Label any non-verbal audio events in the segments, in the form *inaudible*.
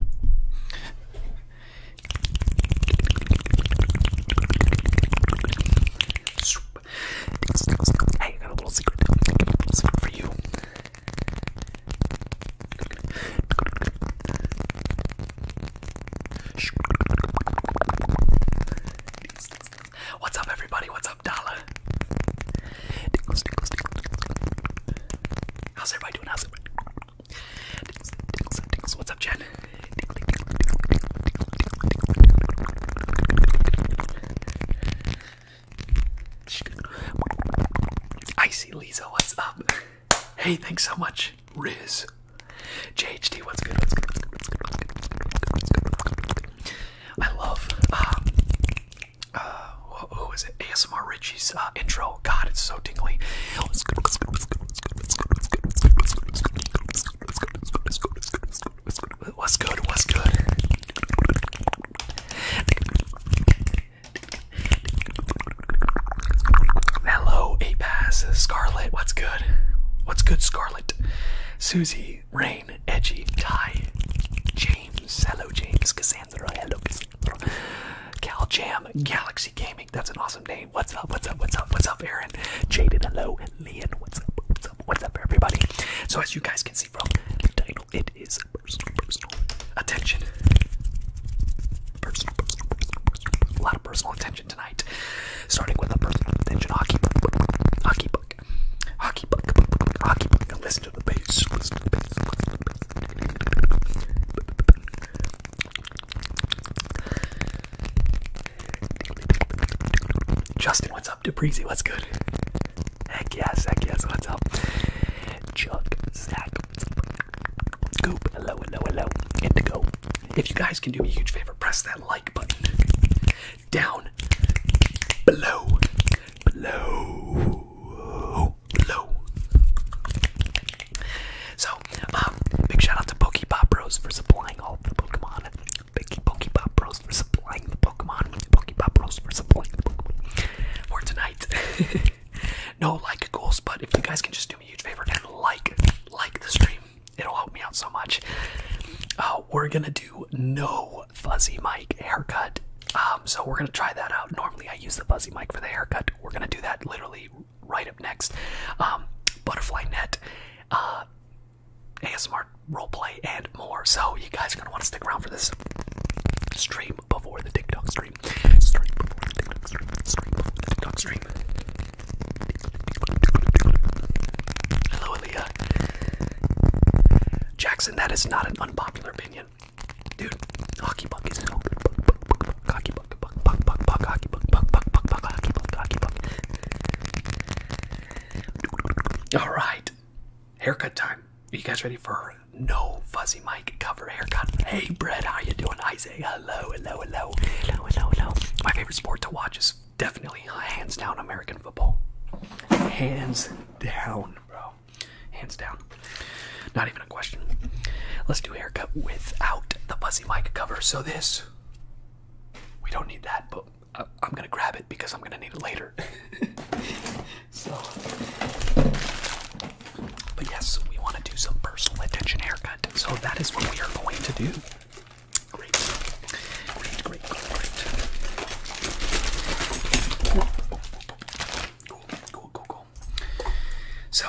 Hey, I got a little secret. I got a little secret for you. What's up, everybody? What's up, Dala? How's everybody doing? Dings, dings, dings. What's up, Jen? I see Lisa, what's up? Hey, thanks so much, Riz. JHD, what's good? What's good? What's good? What's good? I love who is it? ASMR Richie's uh, intro. God, it's so tingly. What's good? What's good? Hello, A Pass, Scarlet. What's good? What's good, Scarlet? Susie, Rain, Edgy, Ty, James. Hello, James. Cause hello Cassandra. Cal Jam, Galaxy Gaming, that's an awesome name. What's up, what's up, what's up, what's up, Aaron? Jaden, hello. Leon, what's up, what's up, what's up, everybody? So as you guys can see from the title, it is personal, attention. Personal, personal, A lot of personal attention tonight. Starting with a personal attention hockey puck, hockey puck, hockey puck, hockey puck. Listen Listen to the bass. Listen to the bass. Justin, what's up? DeBreezy, what's good? Heck yes, heck yes, what's up? Chuck, Zach, Goop, hello, hello, hello, Indigo. If you guys can do me a huge favor, press that like button down below, below, low. So, um, big shout out to Pop Bros for supplying all the Pokemon. Big Pop Bros for supplying the Pokemon. Pokepop Bros for supplying the Pokemon for tonight. *laughs* no like goals, but if you guys can just do me a huge favor and like, like the stream, it'll help me out so much. Uh, we're gonna do no fuzzy mic haircut. Um, so we're gonna try that out. Normally I use the fuzzy mic for the haircut. We're gonna do that literally right up next. Um, butterfly net, uh, ASMR roleplay, and more. So you guys are gonna want to stick around for this stream before the TikTok stream. TikTok stream. Stream before the TikTok stream. Hello, Aaliyah. Jackson, that is not an unpopular opinion. Dude, hockey puck is so good. Hockey puck, puck, puck, puck, puck, hockey puck, puck, puck, puck, puck, hockey puck, hockey puck. All right, haircut time. Are you guys ready for no fuzzy mic cover haircut? Hey, Brett, how you doing? I say hello, hello, hello, hello, hello, hello. My favorite sport to watch is definitely hands down American football. Hands down, bro. Hands down. Not even a question. Let's do haircut without the fuzzy mic cover. So this, we don't need that, but I, I'm gonna grab it because I'm gonna need it later. *laughs* so, but yes, we want to do some personal attention haircut. So that is what we are going to do. Great, great, great, great, great. Cool, cool, cool, cool. So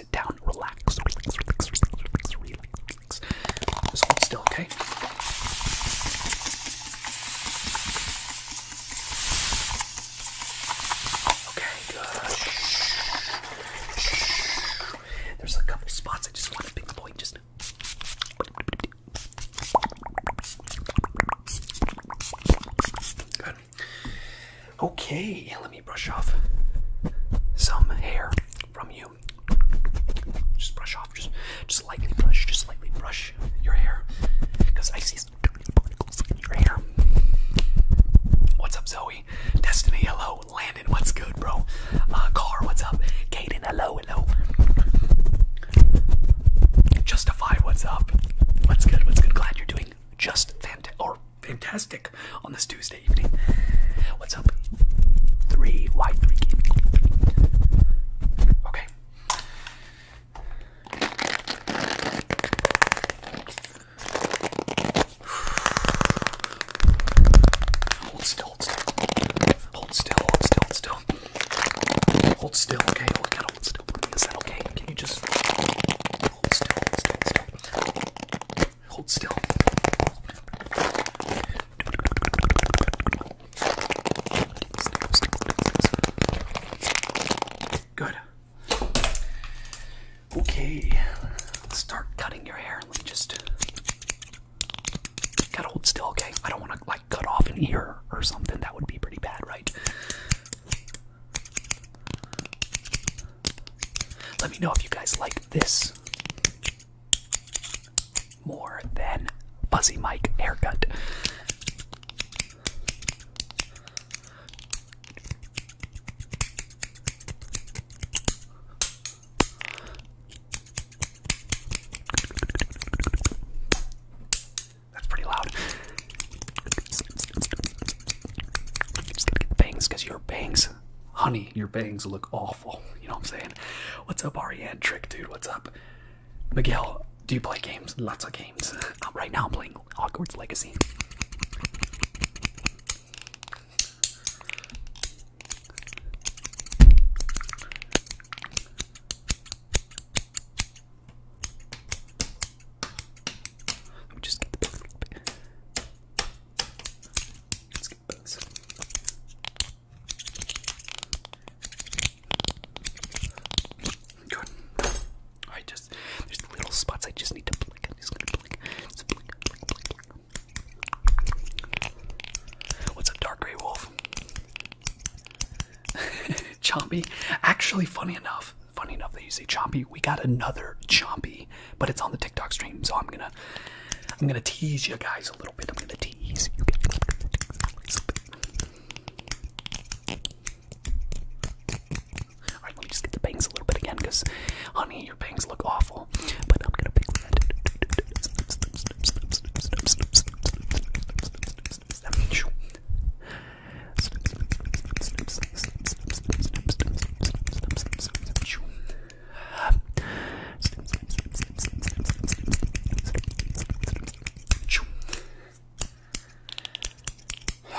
sit down, relax, relax, relax, relax, relax, relax. Just hold still, okay? Okay, good. Shh. Shh. There's a couple spots I just want to pinpoint just now. Good. Okay, let me brush off some hair from you. Just brush off, just just lightly brush, just lightly brush your hair, because I see some particles in your hair. What's up, Zoe? Destiny, hello. Landon, what's good, bro? Uh, Car, what's up? Kaden, hello, hello. Justify, what's up? What's good? What's good? Glad you're doing just fantastic, or fantastic on this Tuesday evening. What's up? Three wide three Okay. Hold still, hold still. Hold still, hold still, hold still. Hold okay? okay? Can you just hold still, hold still? Hold still. Good. Okay, start cutting your hair. just. Gotta hold still, okay? I don't want to like cut off an ear or something. That would be pretty bad, right? Let me know if you guys like this more than Fuzzy Mike haircut. That's pretty loud. Just get the bangs because bangs Honey, your bangs look awful. You know what I'm saying? What's up, Ariane? Trick, dude, what's up? Miguel, do you play games? Lots of games. *laughs* Um, right now I'm playing Hogwarts Legacy. Let me just get the let I just there's little spots I just need to blink. I'm just gonna blink. What's up, Dark Grey Wolf? *laughs* chompy. Actually, funny enough, funny enough that you say chompy, we got another chompy but it's on the TikTok stream, so I'm gonna I'm gonna tease you guys a little bit. I'm gonna tease you guys Alright, let me just get the bangs a little bit again, because honey, your bangs look awful. But I'm gonna pick that.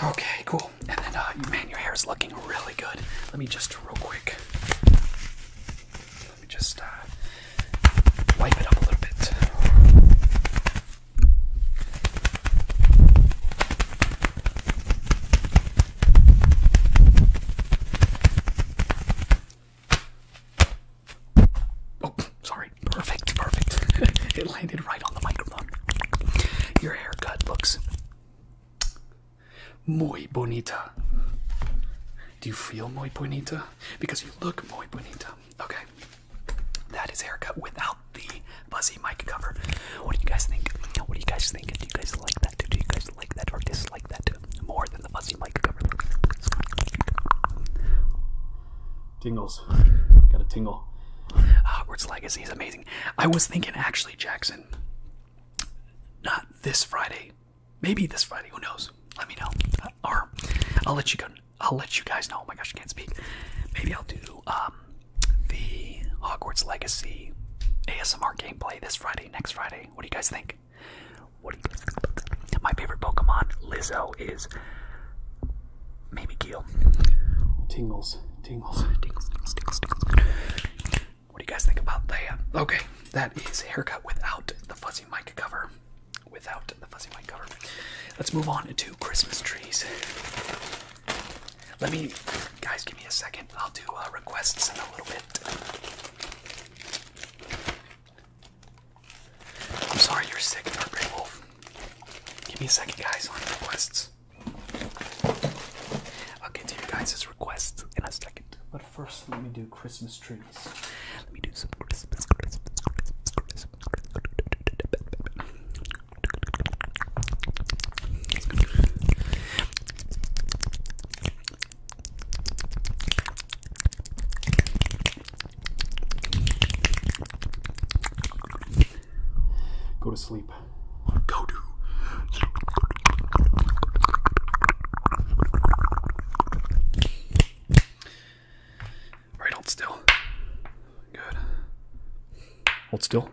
Okay, cool. And then, uh, man, your hair is looking really good. Let me just real quick. Let me just uh, wipe it up a little bit. Oh, sorry. Perfect, perfect. *laughs* it landed right on the microphone. Your haircut looks muy bonita. Do you feel muy bonita? Because you look muy bonita. Okay. That is haircut without the fuzzy mic cover. What do you guys think? What do you guys think? Do you guys like that? that? you guys like that or dislike that more than the fuzzy mic cover? Tingles. Got a tingle. Hogwarts Legacy is amazing. I was thinking, actually, Jackson, not this Friday. Maybe this Friday. Who knows? Let me know. Uh, or I'll let you go. I'll let you guys know. Oh my gosh, I can't speak. Maybe I'll do um, the Hogwarts Legacy ASMR gameplay this Friday next Friday. What do you guys think? What do you guys think? My favorite Pokemon, Lizzo, is maybe Keel. Tingles, tingles, tingles, What do you guys think about that? Okay, that is haircut without the fuzzy mic cover. Without the fuzzy mic cover. Let's move on to Christmas trees. Let me, guys, give me a second. I'll do uh, requests in a little bit. I'm sorry you're sick, Dark Wolf. Give me a second, guys, on requests. I'll get to you guys' requests in a second. But first, let me do Christmas trees. Let me do some Christmas. Go to sleep. Go to sleep. All right, hold still. Good. Hold still.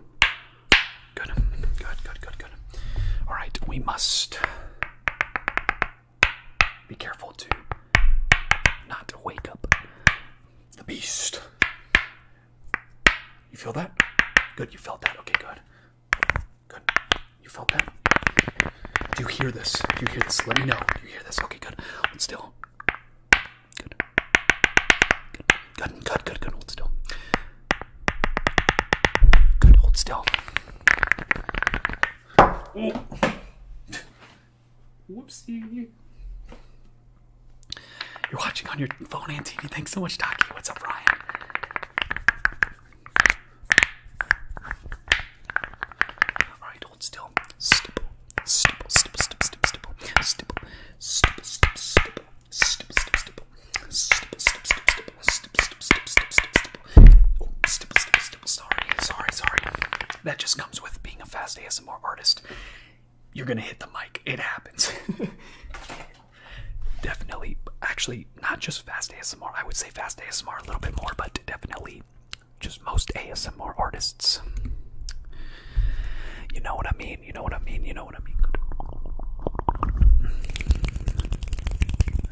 Good, good, good, good, good. All right, we must be careful to not wake up the beast. You feel that? Good, you felt that. Okay, good. Good. You felt that? Do you hear this? Do you hear this? Let me know. you hear this? Okay, good. Hold still. Good. Good. Good. Good. Good. Hold still. Good, hold still. Oh. Whoopsie. You're watching on your phone and Thanks so much, Taki. What's up, Ryan? Alright, hold still. stipple, stipple, stipple, stipple, stipple, stipple, stipple, stipple, stipple, stipple, stipple, sorry, sorry, sorry. That just comes with being a fast ASMR artist. You're gonna hit the mic. It happens. *laughs* definitely, actually, not just fast ASMR. I would say fast ASMR a little bit more, but definitely just most ASMR artists. You know what I mean? You know what I mean? You know what I mean.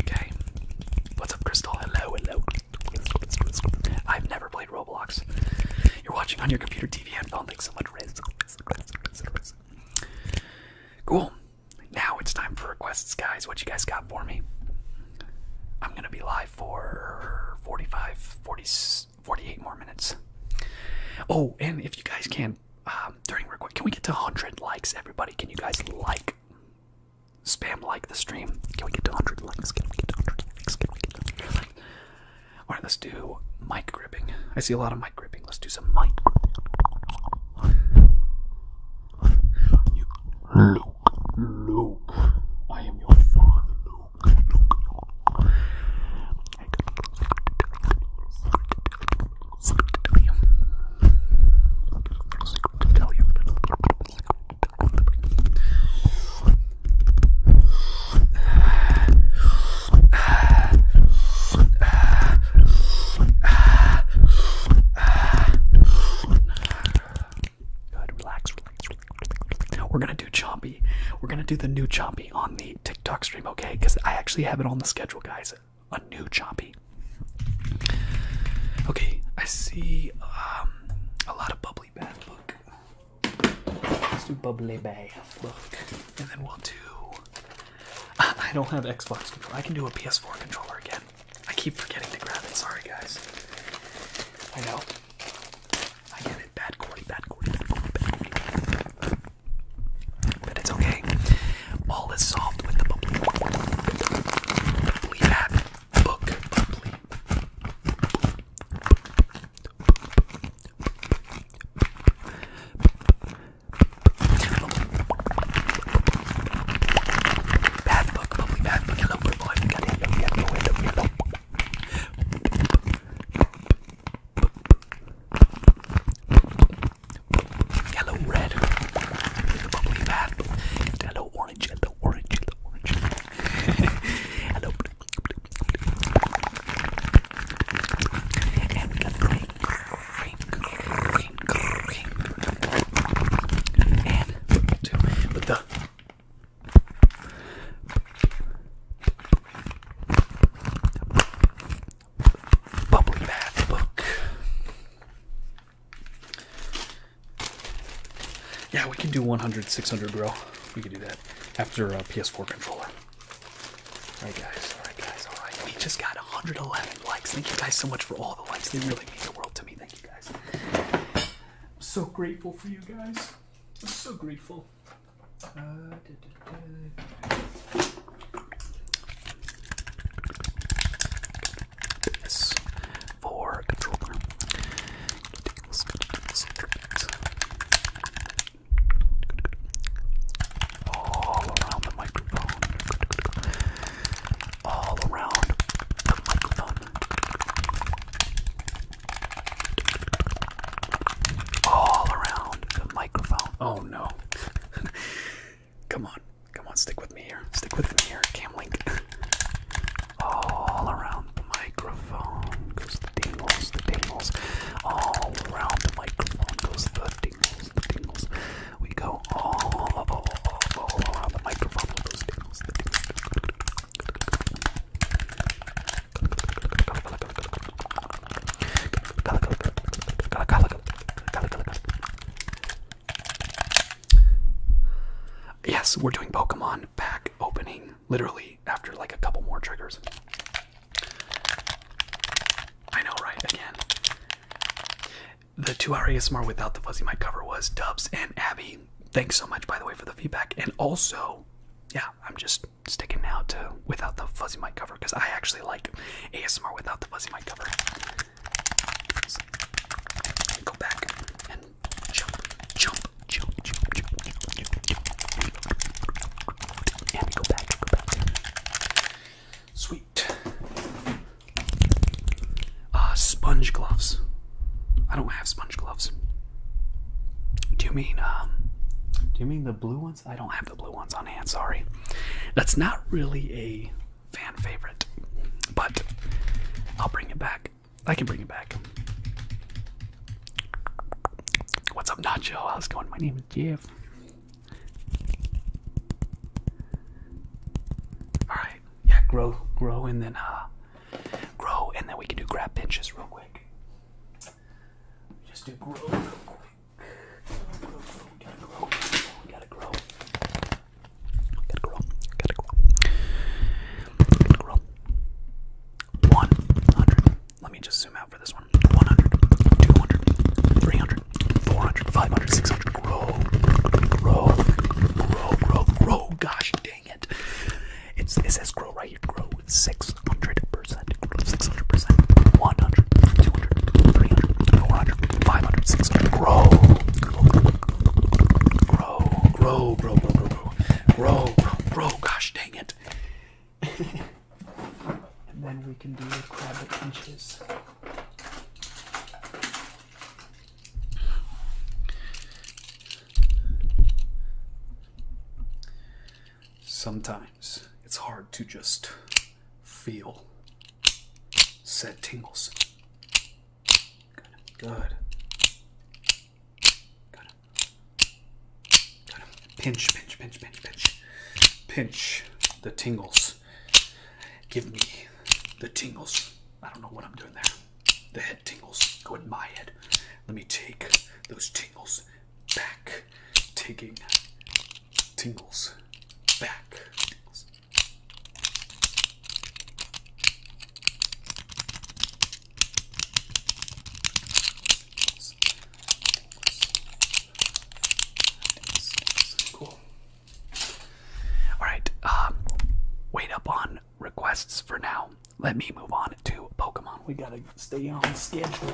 Okay. What's up, Crystal? Hello, hello. I've never played Roblox. You're watching on your computer TV headphone. Thanks so much, Riz. Riz, Cool. Now it's time for requests, guys. What you guys got for me? I'm gonna be live for 45, 40, 48 more minutes. Oh, and if you guys can, um, during record. Can we get to 100 likes, everybody? Can you guys like spam like the stream? Can we get to 100 likes? Can we get to 100 likes? Can we get 100 likes? All right, let's do mic gripping. I see a lot of mic gripping. Let's do some mic. You, Luke, Luke, I am your father, Luke. Good, relax, relax, We're gonna do choppy. We're gonna do the new choppy on the TikTok stream, okay? Because I actually have it on the schedule, guys a new choppy. Okay, I see um, a lot of bubbly bath book. Let's do bubbly bath book, and then we'll do. *laughs* I don't have Xbox controller. I can do a PS4 controller again. I keep forgetting to grab it. Sorry, guys. I know. I get it. Bad Cordy. Bad Cordy. Bad Cordy. Bad Cordy. But it's okay. All is solved with the bubbly. Bubbly book. Bubbly. Bath book, bubbly bath book. Hello, purple. I've got yellow, Yellow, red. Bubbly bath. Yellow, orange, yellow, orange, yellow, orange. Hello. And we got green, green, green, green. And we'll do with the bubbly bath book. Yeah, we can do 100, 600 row. We can do that after uh, PS4 controller. Alright guys, alright guys, alright. We just got 111 likes. Thank you guys so much for all the likes. They really mean the world to me. Thank you guys. I'm so grateful for you guys. I'm so grateful. Uh, S for controller. All around the microphone. All around the microphone. All around the microphone. Oh no. *laughs* Come on. Come on, stick with me here. Stick with me here, Camlink. *laughs* All around the microphone goes the dingles, the dingles. All around the microphone goes the dingles, the dingles. We go all, around the microphone with those dingles, the dingles. Yes, we're doing Pokemon pack opening literally after like a couple more triggers. I know, right? Again. The two hour ASMR without the fuzzy mic cover was Dubs and Abby. Thanks so much, by the way, for the feedback. And also, yeah, I'm just sticking now to without the fuzzy mic cover because I actually like ASMR without the fuzzy mic cover. Go back and jump, jump, jump, jump, jump, jump, jump, jump. And go back, go back. Sweet. Ah, sponge gloves. I don't have sponge gloves. Do you mean, um, do you mean the blue ones? I don't have the blue ones on hand, sorry. That's not really a fan favorite, but I'll bring it back. I can bring it back. What's up, Nacho? How's it going? My name is Jeff. All right, yeah, grow, grow, and then uh, grow, and then we can do grab pinches real quick. Just do grow real quick. Gotta grow, gotta grow, gotta grow, gotta grow, gotta grow, gotta grow. One hundred. Let me just zoom out for this one. 100, 200, 300, 400, 500, 600. Grow, grow, grow, grow, grow. Gosh dang it. It's, it says grow right here. Grow 600%. Grow 600%. 100, 200, 300, 400, 400, 600. Grow. Grow, grow, grow, grow, grow, grow, grow, gosh dang it. *laughs* and then we can do the crab pinches. Sometimes it's hard to just feel Set tingles. Good. Good. Good. Good. Pinch, pinch, pinch, pinch, pinch. Pinch the tingles. Give me the tingles. I don't know what I'm doing there. The head tingles go in my head. Let me take those tingles back. Taking tingles back. Alright, um, wait up on requests for now. Let me move on to Pokemon. We gotta stay on schedule.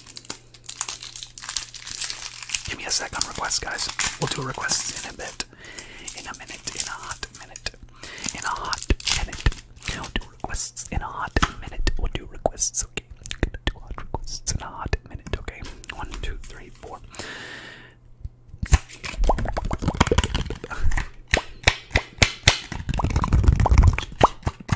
Give me a sec on requests, guys. We'll do requests in a bit. In a minute. In a hot minute. In a hot minute. We'll do requests in a hot minute. We'll do requests, okay? We're do hot requests in a hot minute, okay? One, two, three, four.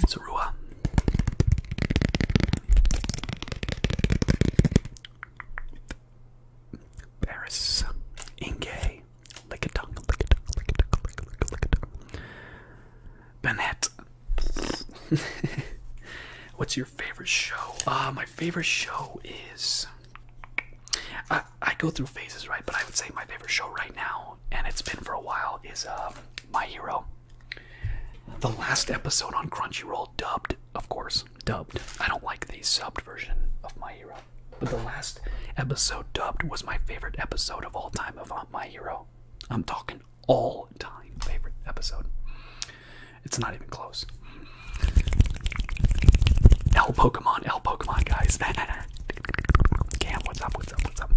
It's a Rua. Paris. Inge. Lick a tongue, lick a tongue, lick a tongue, lick a tongue, lick a tongue. Bennett. *laughs* What's your favorite show? Uh, my favorite show is. I, I go through phases, right? But I would say my favorite show right now, and it's been for a while, is um, My Hero. The last episode on Crunchyroll, dubbed, of course, dubbed. I don't like the subbed version of My Hero, but the last episode dubbed was my favorite episode of all time of uh, My Hero. I'm talking all time favorite episode. It's not even close. L Pokemon, L Pokemon, guys. *laughs* Cam, what's up? What's up? What's up?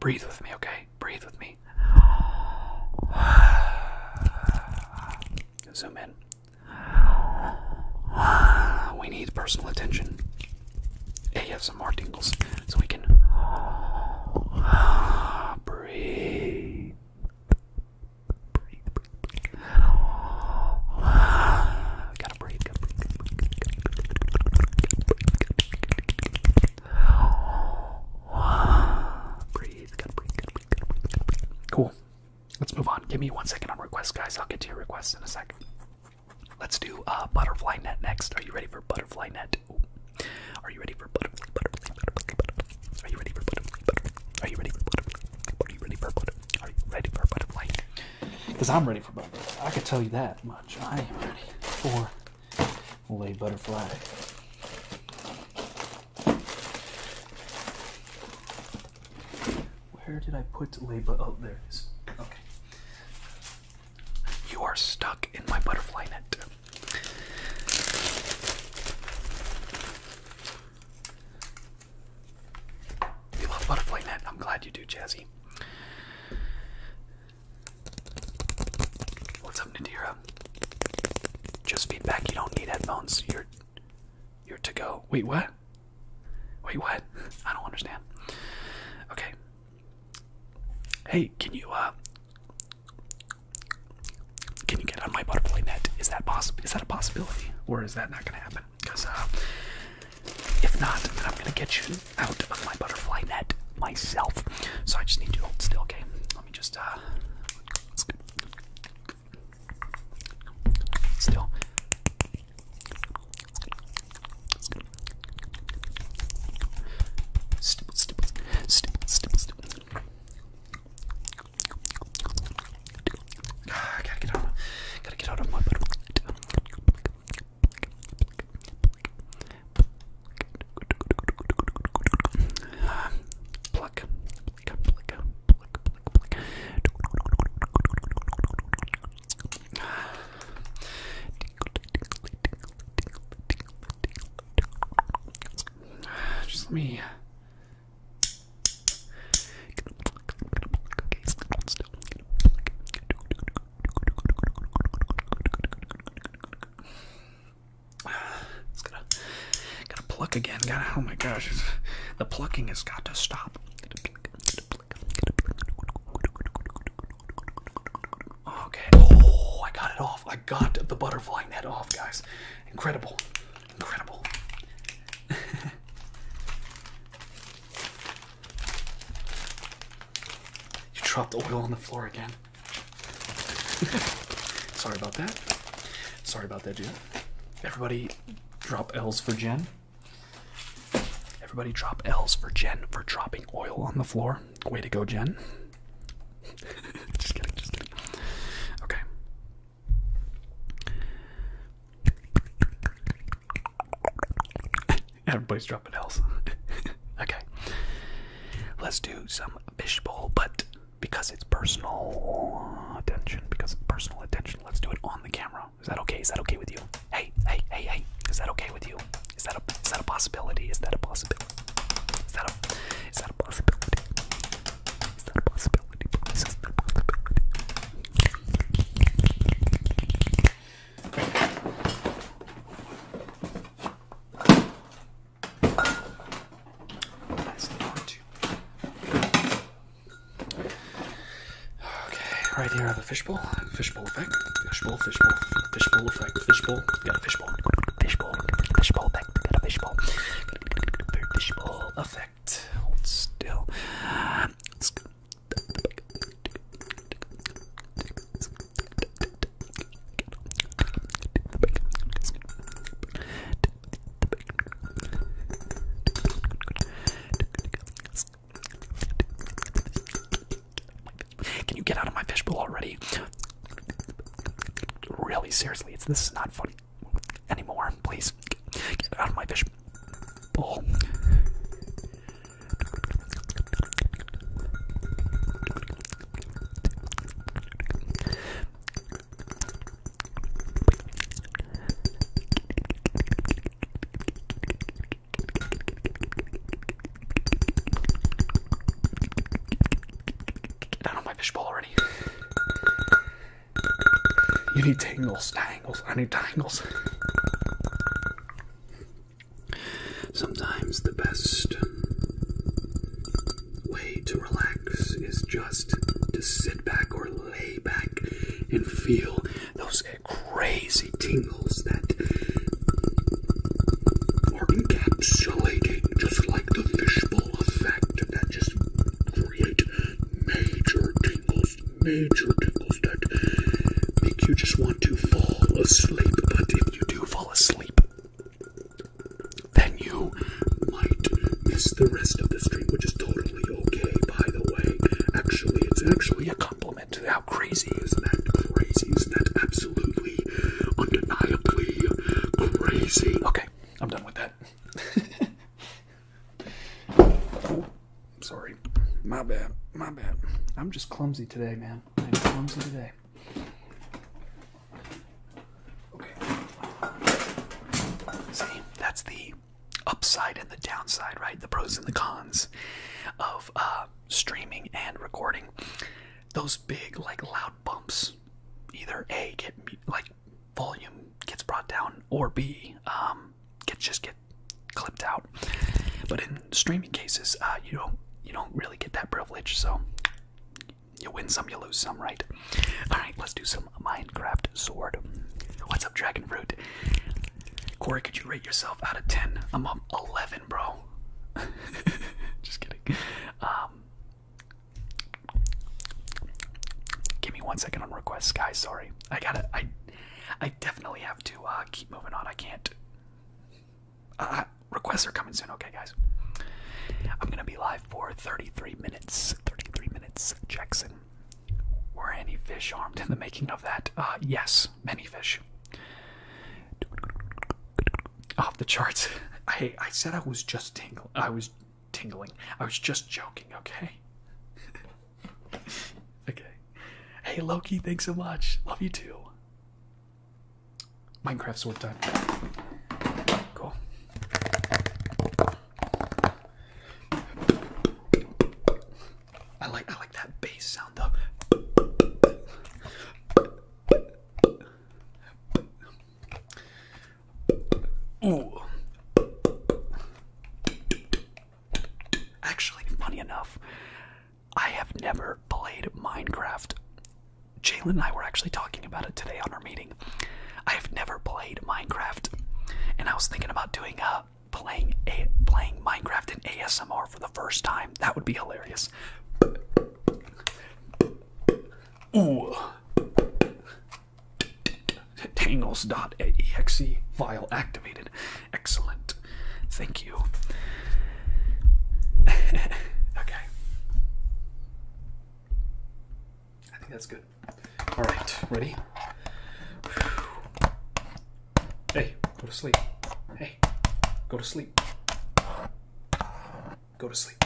Breathe with me, okay? Breathe with me. *sighs* Zoom in. We need personal attention. ASMR tingles so we can *gasps* breathe. Breathe, breathe, breathe. We gotta breathe breakup, breakup, breakup, breathe, breakup, breakup, breakup. Cool. Let's move on. Give me one second on requests, guys. I'll get to your requests in a sec. Let's do uh, butterfly net next. Are you ready for butterfly net? Ooh. Are you ready for butterfly, butterfly, butterfly, butterfly? Are you ready for butterfly, butterfly? Are you ready for butterfly? Are you ready for butterfly? Are you ready for butterfly? Because I'm ready for butterfly. I can tell you that much. I am ready for Lay butterfly. Where did I put lay oh there it is. Okay. You are stuck in my butterfly net. You love butterfly net. I'm glad you do, Jazzy. What's up, Nadira? Just feedback. You don't need headphones. You're you're to go. Wait, what? Wait, what? *laughs* I don't understand. Okay. Hey, can you uh can you get on my butterfly net? Is that possible? Is that a possibility, or is that not going to happen? Because uh, if not, then I'm going to get you out of my butterfly net myself. So I just need to hold still, okay? Let me just, uh. Still. Stipple, stipple, stipple, stipple, stipple. I ah, gotta get out of, gotta get out of my butterfly net. Pluck, pluck, pluck, pluck, pluck. Just let me. Okay, still. *sighs* It's gotta, gotta pluck again. Gotta, oh my gosh, the plucking has got to stop. Okay. Oh, I got it off. I got the butterfly net off, guys. Incredible, incredible. *laughs* You dropped oil on the floor again. *laughs* Sorry about that. Sorry about that, Jen. Everybody drop L's for Jen. Everybody drop L's for Jen for dropping oil on the floor. Way to go, Jen. *laughs* Okay. Everybody's dropping L's. *laughs* okay. Let's do some fishbowl, but because it's personal attention, because it's personal attention, let's do it on the camera. Is that okay? Is that okay with you? Hey, hey, hey, hey. Is that okay with you? Is that a is that a possibility? Is that a possibility? Is that a is that a possibility? Is that a possibility? Is that a possibility? That's the one, two. Okay, right here are the fishbowl. Fishbowl effect. Fishbowl, fishbowl, fishbowl effect. Fishbowl. Got a fishbowl. Fishbowl. Fishbowl effect. Got a fishbowl. Fishbowl effect. Hold still. Let's go. Can you get out of my fishbowl already? Really, seriously, it's this is not funny anymore. Please get out of my fishbowl. Get down on my fishbowl already. You need tangles, tangles. I need tangles. Sometimes the best way to relax is just to sit back or lay back and feel those crazy tingles that are encapsulating, just like the fishbowl effect, that just create major tingles, major tingles that make you just want to fall asleep. But you do fall asleep, then you might miss the rest of the stream, which is totally okay, by the way. Actually, it's actually a compliment. How crazy is that? Crazy is that? Absolutely, undeniably crazy. Okay, I'm done with that. *laughs* oh, sorry. My bad. My bad. I'm just clumsy today, man. I'm clumsy today. Okay. See, that's the upside and the downside, right? The pros and the cons of uh, streaming and recording. Those big, like loud bumps, either A, get like volume gets brought down, or B, um, get just get clipped out. But in streaming cases, uh, you don't you don't really get that privilege. So you win some, you lose some, right? All right, let's do some Minecraft sword. What's up, Dragon Fruit? Corey, could you rate yourself out of ten? I'm up eleven, bro. *laughs* Just kidding. Um, give me one second on requests, guys. Sorry, I gotta. I I definitely have to uh, keep moving on. I can't uh, requests are coming soon. Okay, guys. I'm gonna be live for 33 minutes. 33 minutes, Jackson. Were any fish armed in the making of that? Uh, yes, many fish. Off the charts. I I said I was just tingling. I was tingling. I was just joking. Okay. *laughs* okay. Hey Loki, thanks so much. Love you too. Minecraft sword time. Cool. I like I like that bass sound though. Ooh. Actually, funny enough, I have never played Minecraft. Jalen and I were actually talking about it today on our meeting. I have never played Minecraft, and I was thinking about doing a uh, playing a playing Minecraft in ASMR for the first time. That would be hilarious. Ooh. Tangles.exe file activated. Excellent. Thank you. *laughs* okay. I think that's good. All right, ready? Hey, go to sleep. Hey, go to sleep. Go to sleep.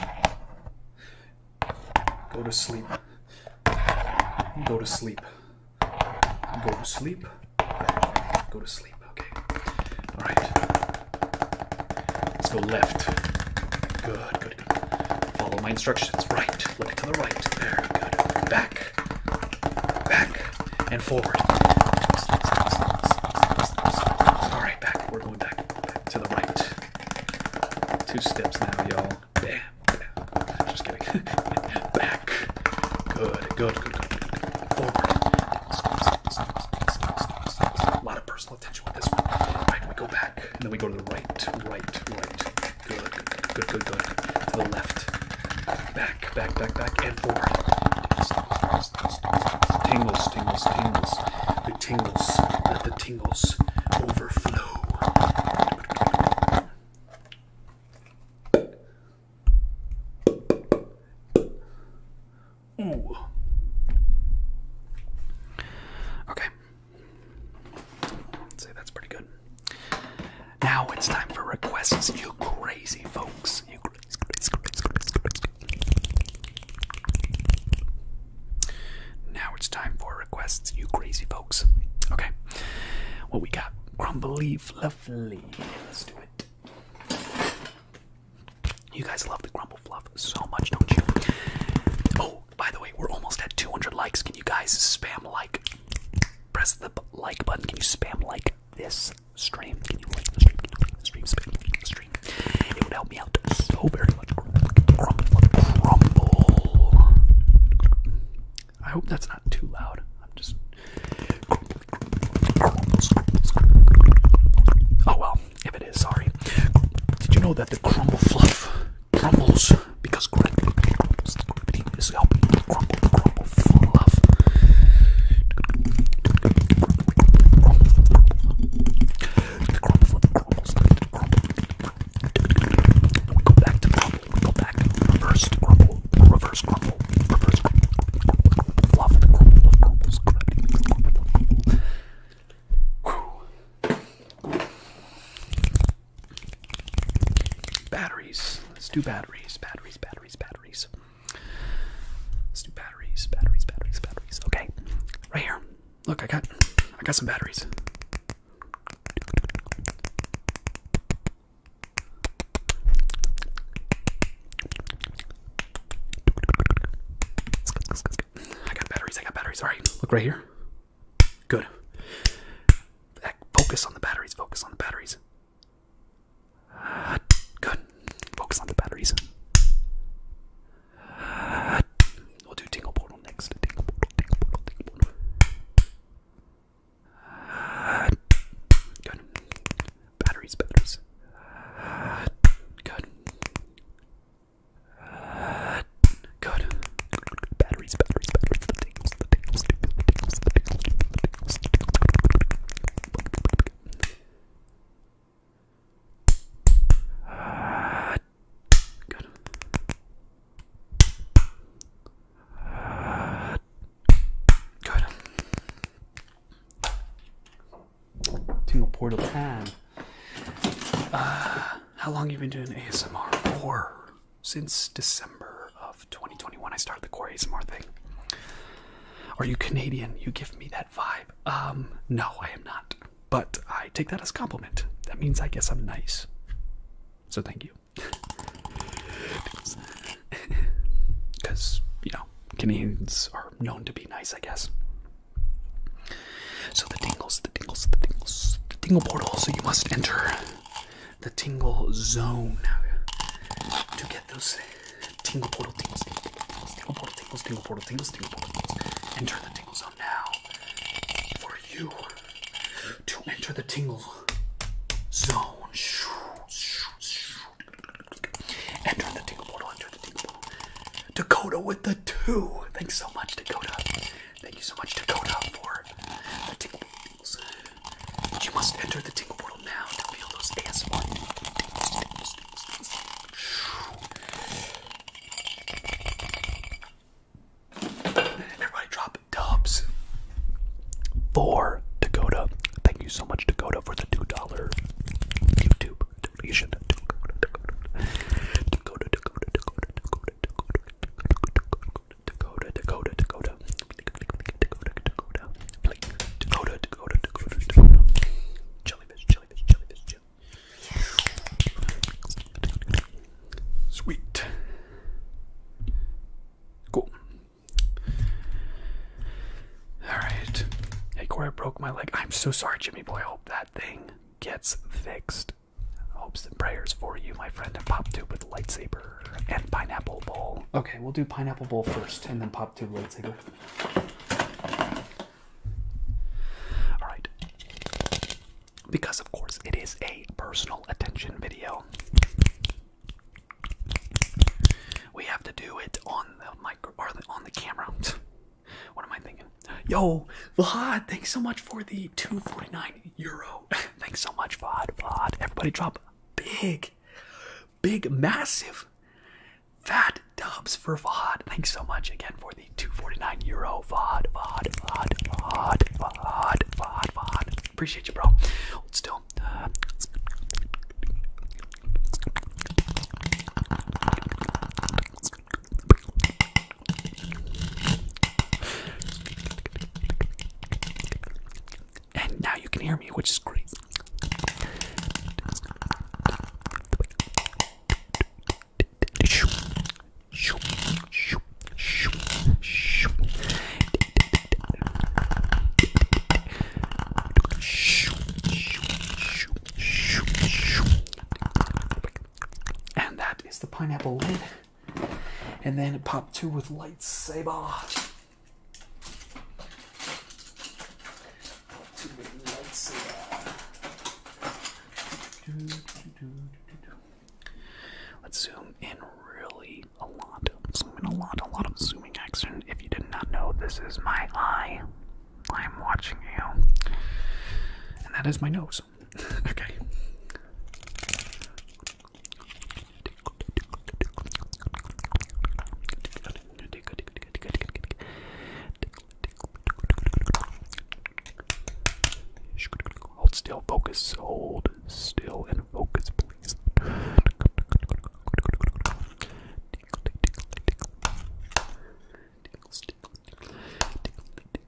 Go to sleep. Go to sleep. Go to sleep. Go to sleep. Go to sleep. Okay. All right. Let's go left. Good, good, Follow my instructions. Right. Look to the right. There. Good. Back. Back. And forward. All right, back. We're going back. to the right. Two steps now, y'all. Bam. Just kidding. *laughs* back. Good, good, good, good, good. Forward. A lot of personal attention with this one. Right, we go back, and then we go to the right, right, right. Good, good, good, good. To the left. Back, back, back, back, and forward. Tingles, tingles, tingles. The tingles. Let the tingles overflow. Ooh. Okay. say that's pretty good. Now it's time for requests, you crazy folks. Now it's time for requests, you crazy folks. Okay. What we got? Crumbly, fluffy. Let's do it. You guys love the Grumble Fluff so much, don't you? Oh, by the way, we're almost at 200 likes. Can you guys spam like? Press the like button. Can you spam like this stream? Can you like the stream? Can you like the stream? Spam stream. It would help me out so very much. Grumble I hope that's not too loud. I'm just. Oh well, if it is, sorry. Did you know that the crumble fluff crumbles because gravity is helping you crumble the crumble fluff? The crumble fluff crumbles. Crumble. We go back to crumble. We go back to reverse crumble. Reverse crumble. Reverse crumble. Love it. Love crumbles. Batteries. Let's do batteries. Batteries, batteries, batteries. Let's do batteries, batteries, batteries, batteries. Okay. Right here. Look, I got I got some batteries. I got batteries, I got batteries. Alright, look right here. Good. Focus on the batteries, focus on the batteries. good. Focus on the batteries. we'll do Tingle next. good. Batteries, batteries. Good. Good. Batteries, batteries, batteries. The tingles, the tingles, the tingles, the tingles, the tingles, the tingles. Good. Good. Tingle Portal 10. Uh, how long you been doing ASMR for? Since December of 2021, I started the core ASMR thing. Are you Canadian? You give me that vibe. Um, no, I am not. But I take that as compliment. That means I guess I'm nice. So thank you. *laughs* Because, you know, know, Canadians are known to be nice, I guess. So the tingles, the tingles, the tingles, the tingle portal. So you must enter the tingle zone to get those tingle portal tingles, tingle portal tingles, tingle portal tingles, tingle portal tingles. Enter the tingle zone now for you to enter the tingle zone. Shoo, shoo, shoo, Enter the tingle portal, enter the tingle portal. Dakota with the two. Thanks so much, Dakota. Thank you so much, Dakota, for the tingle portals. You must enter the tingle portal now to feel those ASMR Everybody drop dubs. For Dakota. Thank you so much, Dakota, for the $2 YouTube you should. Sweet. Cool. All right. Hey, Corey, I broke my leg. I'm so sorry, Jimmy boy. I hope that thing gets fixed. Hopes and prayers for you, my friend. And Pop Tube with lightsaber and pineapple bowl. Okay, we'll do pineapple bowl first, and then Pop Tube lightsaber. All right. Because of course it is a personal attention video. We have to do it on the mic on the camera. What am I thinking? Yo, Vlad, thanks so much for the 249 euro. *laughs* thanks so much, Vlad. Vlad. Everybody drop big, big, massive fat dubs for Vlad. Thanks so much again for the 249 euro. Vlad, Vlad, Vlad, Vlad, Vlad, Vlad, Vlad. Appreciate you, bro. Hold still. Uh, and now you can hear me, which is great. *laughs* And that is the pineapple lid. And then pop two with lightsaber. two with lightsaber. Do, do, Let's zoom in really a lot. Zooming a lot, a lot of zooming action. If you did not know, this is my eye. I'm watching you. And that is my nose. *laughs* okay. Hold still, focus, hold still, and focus, please. Tickles, tickles, tickles, tickles, tickles.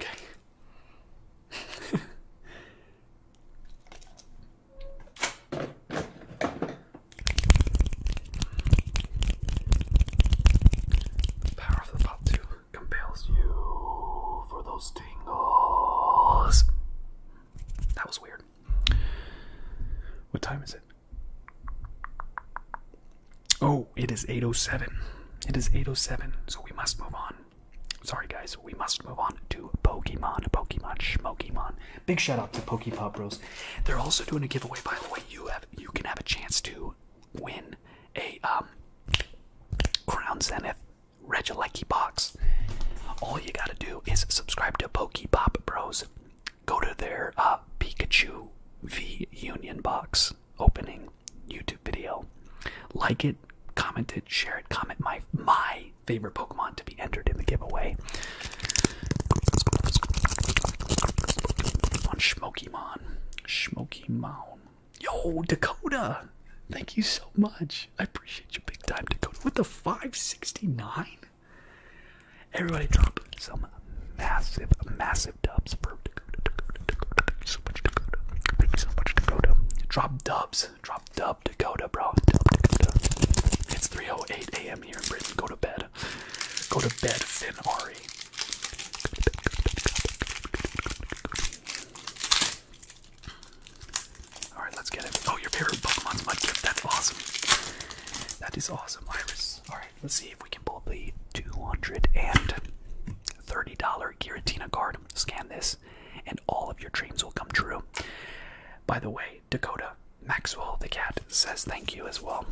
Okay. *laughs* *laughs* power of the pot two compels you for those tingles. That was weird. What time is it? Oh, it is 8.07. It is 8.07, so we must move on. Sorry, guys, we must move on to Pokemon, Pokemon, Schmokemon. Big shout out to Pokepop Bros. They're also doing a giveaway, by the way. You have you can have a chance to win a um Crown Zenith Regilecki box. All you gotta do is subscribe to Pokepop Bros. Go to their uh, Pikachu V Union box opening YouTube video. Like it, comment it, share it, comment my my favorite Pokemon to be entered in the giveaway. On Shmokimon. Shmokimon. Yo, Dakota! Thank you so much. I appreciate you big time, Dakota. With the 569? Everybody drop some massive, massive dubs for Dakota, So much Dakota. Thank you so much, Dakota. Drop dubs. Drop dubbed. Dakota, bro. Dakota. It's 3:08 a.m. here in Britain. Go to bed. Go to bed, Finn Ari. All right, let's get it. Oh, your favorite Pokemon's gift. That's awesome. That is awesome, Iris. All right, let's see if we can pull the two hundred dollars Giratina card. Scan this, and all of your dreams will come true. By the way, Dakota, Maxwell the cat says thank you as well.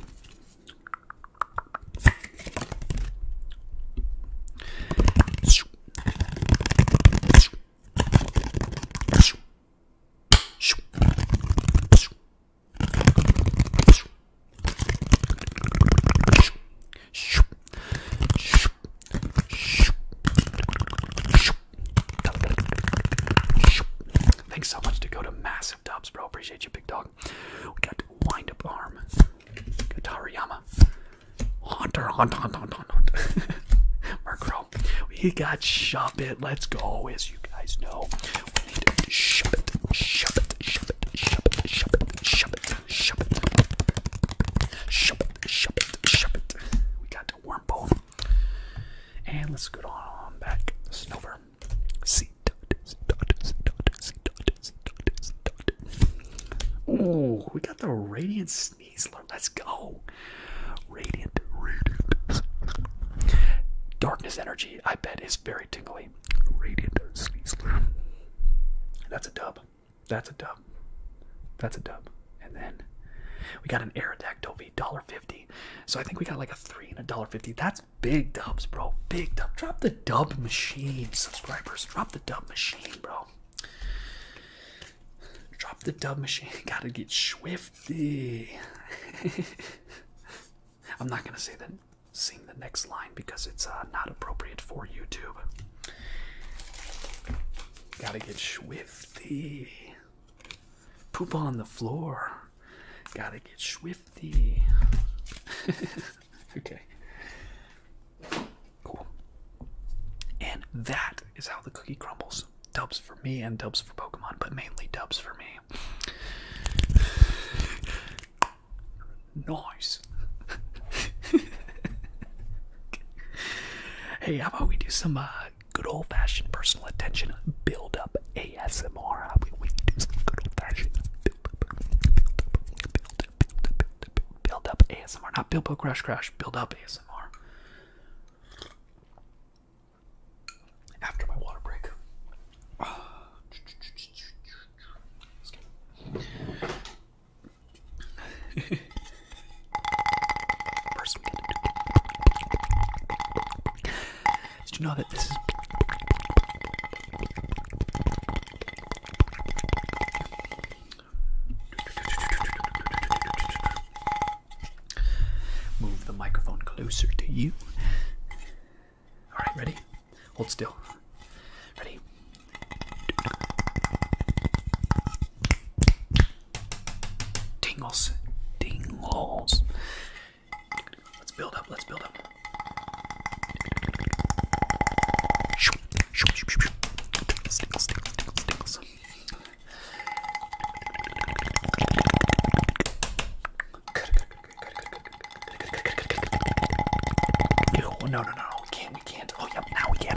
Thanks so much to go to massive dubs, bro. Appreciate you, big dog. We got wind up arm. Katariyama. Haunter, hunter, hunter, hunter, hunter. haunt. *laughs* We got Shop It. Let's go, as you guys know. We need to shop it, shop it, shop it, shop it, shop it, shop it, shop it. Shop it, shop it, shop it. We got Wormbone. And let's go on back. Snover. C dot, we got the Radiant sneezer. Let's go. Radiant, Radiant. Darkness Energy, I bet, is very tingly. Radiant sneezer. That's a dub. That's a dub. That's a dub. And then we got an air Aerodactyl V, $1.50. So I think we got like a three and a dollar fifty. That's big dubs, bro. Big dub. Drop the dub machine, subscribers. Drop the dub machine, bro. Drop the dub machine. *laughs* Gotta get swifty. *laughs* I'm not gonna say that sing the next line because it's uh, not appropriate for YouTube. Gotta get swifty. Poop on the floor. Gotta get swifty. *laughs* okay. Cool. And that is how the cookie crumbles. Dubs for me and dubs for Pokemon, but mainly dubs for me. Nice. *laughs* hey, how about we do some uh, good old-fashioned personal attention build-up ASMR. We, do some good old-fashioned build-up, ASMR. Not build, build, crash, crash. Build-up ASMR. After my water break. *sighs* First, we got did you know that this is Move the microphone closer to you. Alright, ready? Hold still. Ready? Tingles. Tingles. Let's build up, let's build up. Stickles, stickles, stickles, stickles. No, no, no, no. We can't, we can't. Oh, yep, now we can.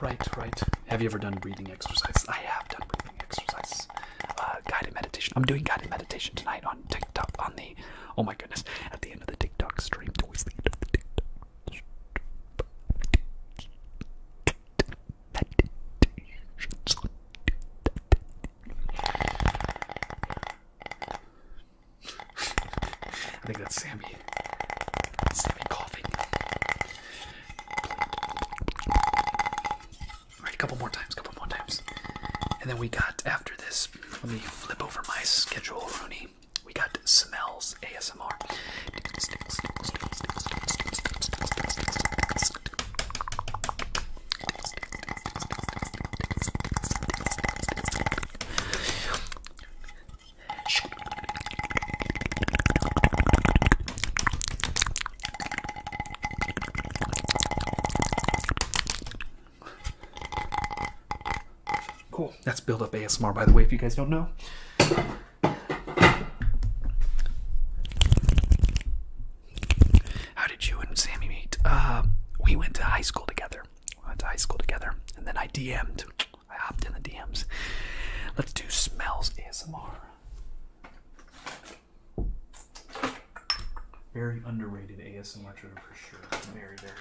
Right, right, right. Have you ever done breathing exercises? I have done breathing exercises. Uh, guided meditation. I'm doing guided meditation tonight on TikTok. On the, oh my goodness, at the end of the TikTok stream. *laughs* I think that's Sammy. Sorry, a couple more times, couple more times. And then we got, after this, let me flip over my schedule, Rooney. We got Smells ASMR. Cool. That's build up ASMR, by the way, if you guys don't know. How did you and Sammy meet? Uh, we went to high school together. We went to high school together, and then I DM'd I hopped in the DMs. Let's do smells ASMR. Very underrated ASMR trigger for sure. Very, very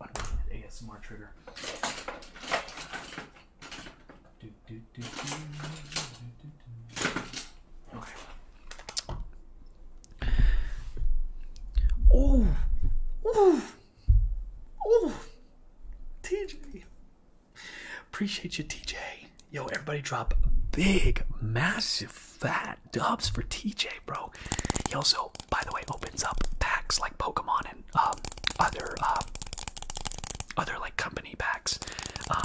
underrated ASMR trigger. Do, do, do, do, do, do, Okay. oh. Oh, TJ. Appreciate you, TJ. Yo, everybody drop big, massive, fat dubs for TJ, bro. He also, by the way, opens up packs like Pokemon and um, other, um, other like company packs. Um,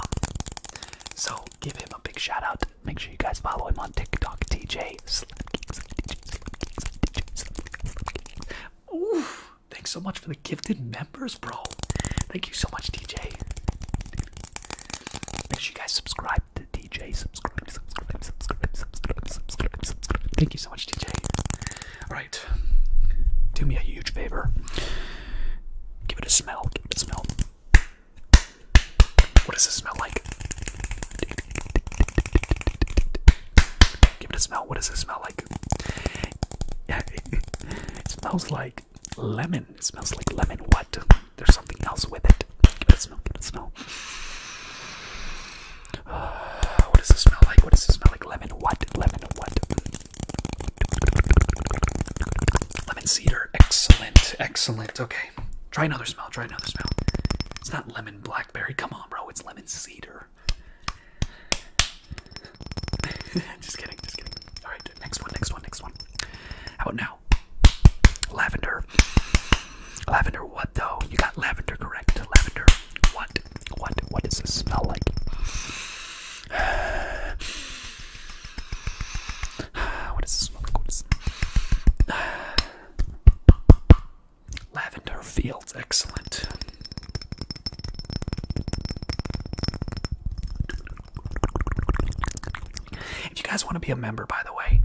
so give him a big shout out. Make sure you guys follow him on TikTok, TJ. Thanks so much for the gifted members, bro. Thank you so much, DJ. Make sure you guys subscribe to DJ. Subscribe, subscribe, subscribe, subscribe, subscribe, subscribe. Thank you so much, DJ. Alright. Do me a huge favor. Give it a smell. Give it a smell. What does it smell like? Give it a smell. What does it smell *laughs* it, smells like lemon. It smells like lemon. What? There's something else with it. Give it smell. Give it smell. *sighs* what does it smell like? What does it smell like? Lemon. What? Lemon. What? Lemon cedar. Excellent. Excellent. Okay. Try another smell. Try another smell. It's not lemon blackberry. Come on, bro. It's lemon cedar. *laughs* just kidding, just kidding. Alright, next one, next one, next one. How about now? Lavender. Lavender, what though? You got lavender correct. Lavender, what? What? What does this smell like? *sighs* what does this smell like? What is *sighs* Lavender Fields, excellent. If you guys want to be a member, by the way,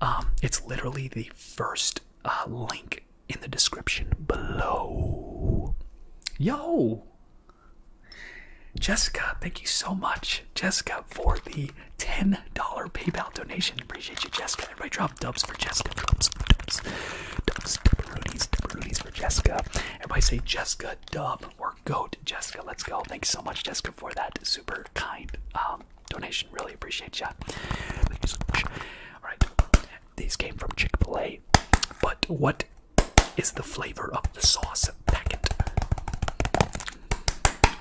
um, it's literally the first uh, link in the description below. Yo! Jessica, thank you so much, Jessica, for the $10 PayPal donation. Appreciate you, Jessica. Everybody drop dubs for Jessica. Dubs, dubs, dubs, dubs, dubs, dubs for Jessica. Everybody say Jessica dub or goat Jessica. Let's go. Thanks so much, Jessica, for that super kind um, donation. Really appreciate you. Thank so much. All right. These came from Chick Fil A, but what is the flavor of the sauce packet?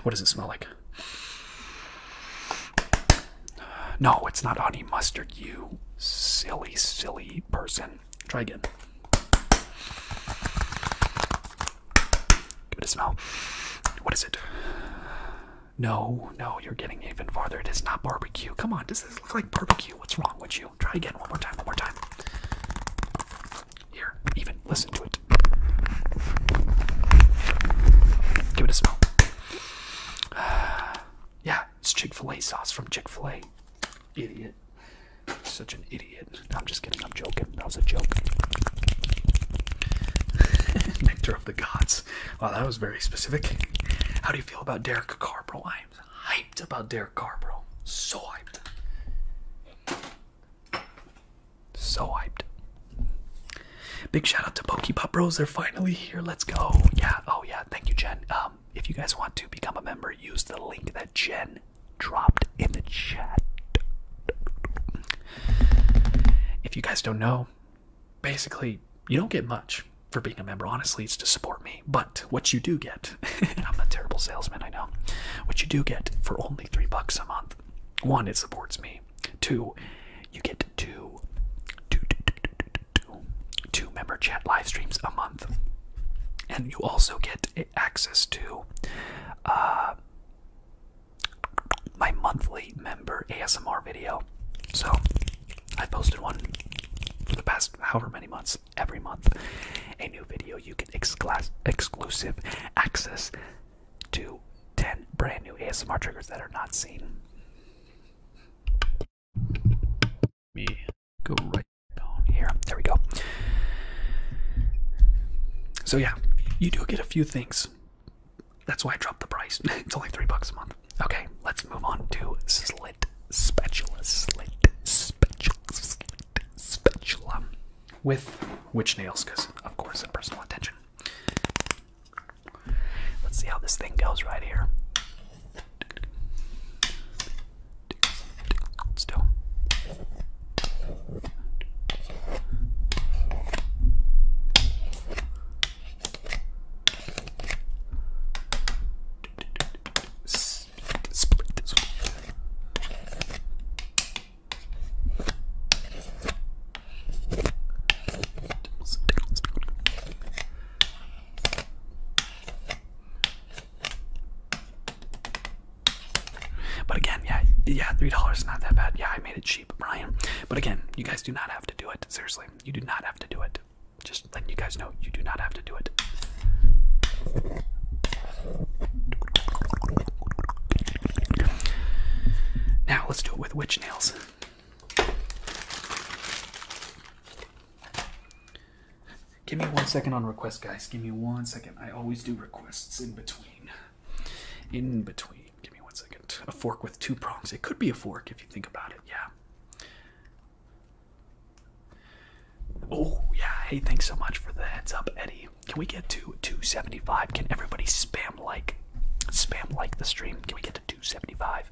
What does it smell like? No, it's not honey mustard, you silly, silly person. Try again. Give it a smell. What is it? No, no, you're getting even farther. It is not barbecue. Come on, does this look like barbecue? What's wrong with you? Try again one more time, one more time. Here, even listen to it. Give it a smell. *sighs* Yeah, it's Chick fil A sauce from Chick fil A. Idiot. Such an idiot. I'm just kidding. I'm joking. That was a joke. Victor *laughs* of the gods. Wow, that was very specific. How do you feel about Derek Carr, bro? I am hyped about Derek Carr, bro. So hyped. So hyped. Big shout out to Pop Bros. They're finally here. Let's go. Yeah. Oh, yeah thank you, Jen. Um, if you guys want to become a member, use the link that Jen dropped in the chat. If you guys don't know, basically, you don't get much for being a member. Honestly, it's to support me. But what you do get, *laughs* I'm a terrible salesman, I know. What you do get for only three bucks a month one, it supports me. Two, you get limit to two, two, two, two, two, two, two member chat live streams a month. And you also get access to uh, my monthly member ASMR video. So I posted one for the past however many months, every month. A new video, you get exclusive access to 10 brand new ASMR triggers that are not seen me go right on here. There we go. So yeah, you do get a few things. That's why I dropped the price. *laughs* it's only three bucks a month. Okay, let's move on to slit spatula, slit spatula, slit spatula, with witch nails, because of course, in personal attention. Let's see how this thing goes right here. Still. Split this one. But again, yeah, yeah, three dollars is not that bad. Yeah, I made it cheap, Brian. But again, you guys do not have to do it. Seriously, you do not have to do it. Just letting you guys know, you do not have to do it. Now let's do it with witch nails. Give me one second on requests, guys. Give me one second. I always do requests in between. In between. Give me one second. A fork with two prongs. It could be a fork if you think about it. Yeah. Oh, yeah. Hey, thanks so much for the heads up, Eddie. Can we get to 275? Can everybody spam like? Spam like the stream. Can we get to 275?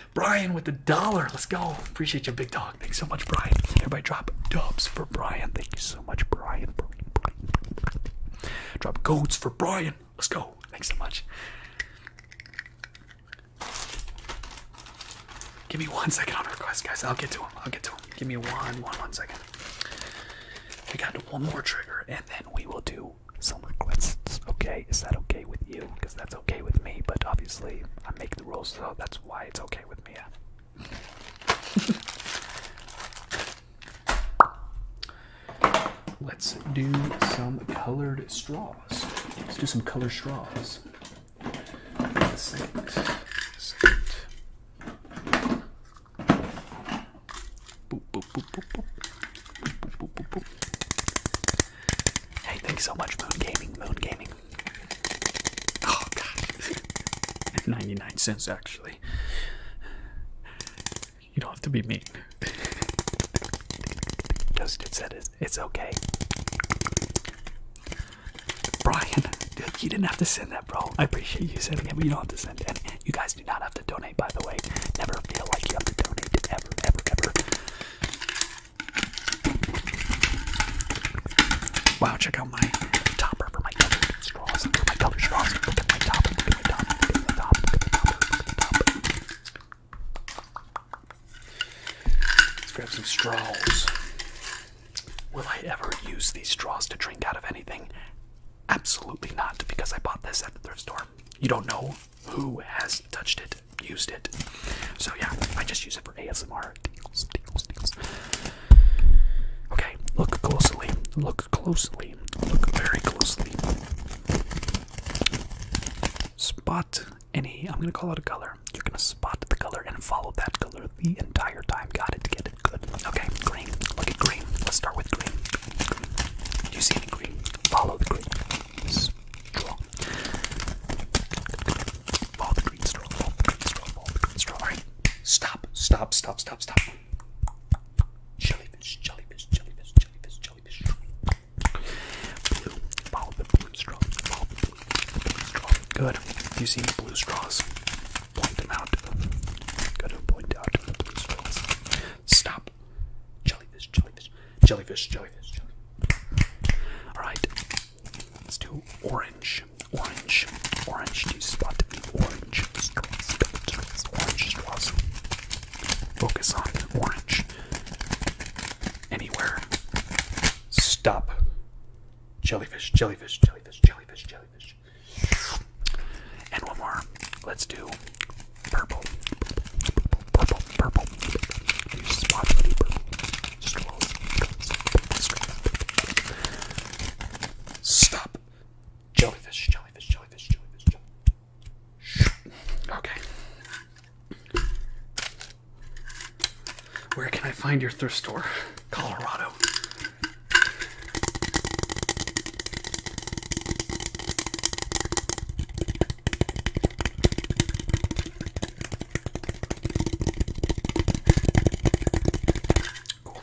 Brian with the dollar. Let's go. Appreciate you, big dog. Thanks so much, Brian. Everybody drop dubs for Brian. Thank you so much, Brian. Brian, Brian, Drop goats for Brian. Let's go. Thanks so much. Give me one second on request, guys. I'll get to him. I'll get to him. Give me one, one, one second. We got one more trigger, and then we will do some requests. Okay, is that okay with you? Because that's okay with me. But obviously, I make the rules, so that's why it's okay with me. Yeah. Let's do some colored straws. Let's do some color straws. Hey, thanks so much, Moon Gaming. Moon Gaming Oh god. *laughs* 99 cents actually. You don't have to be mean. Justin said it. It's okay. Brian, dude, you didn't have to send that, bro. I appreciate you sending it, but you don't have to send it. you guys do not have to donate, by the way. Never feel like you have to donate ever, ever, ever. Wow, check out my topper Look at my straws. Look at my topper. Look Look at my topper. Let's grab some straws. Will I ever use these straws to drink out of anything? Absolutely not, because I bought this at the thrift store. You don't know who has touched it used it. So yeah, I just use it for ASMR. Tingles, tingles, tingles. Okay, look closely. Look closely. Look very closely. Spot any. I'm gonna call out a color. You're gonna spot the color and follow that color the entire time. Got it. Get it. Good. Okay, green. Look at green. Let's start with green. green. Do you see any green? Follow the green. Strong stop, stop, stop, stop, stop. Good. If you see any blue straws, point them out. Gotta point out the blue straws. Stop. Jellyfish, jellyfish, jellyfish, jellyfish, jellyfish. Let's do orange, orange, orange. Do you spot the orange straws? Orange straws. Focus on orange. Anywhere. Stop. Jellyfish, jellyfish, jellyfish, jellyfish, jellyfish. And one more. Let's do purple. Purple, purple. purple. You spot the purple. Stop. jellyfish, jellyfish, jellyfish, jellyfish. Okay. Where can I find your thrift store? Colorado. Cool.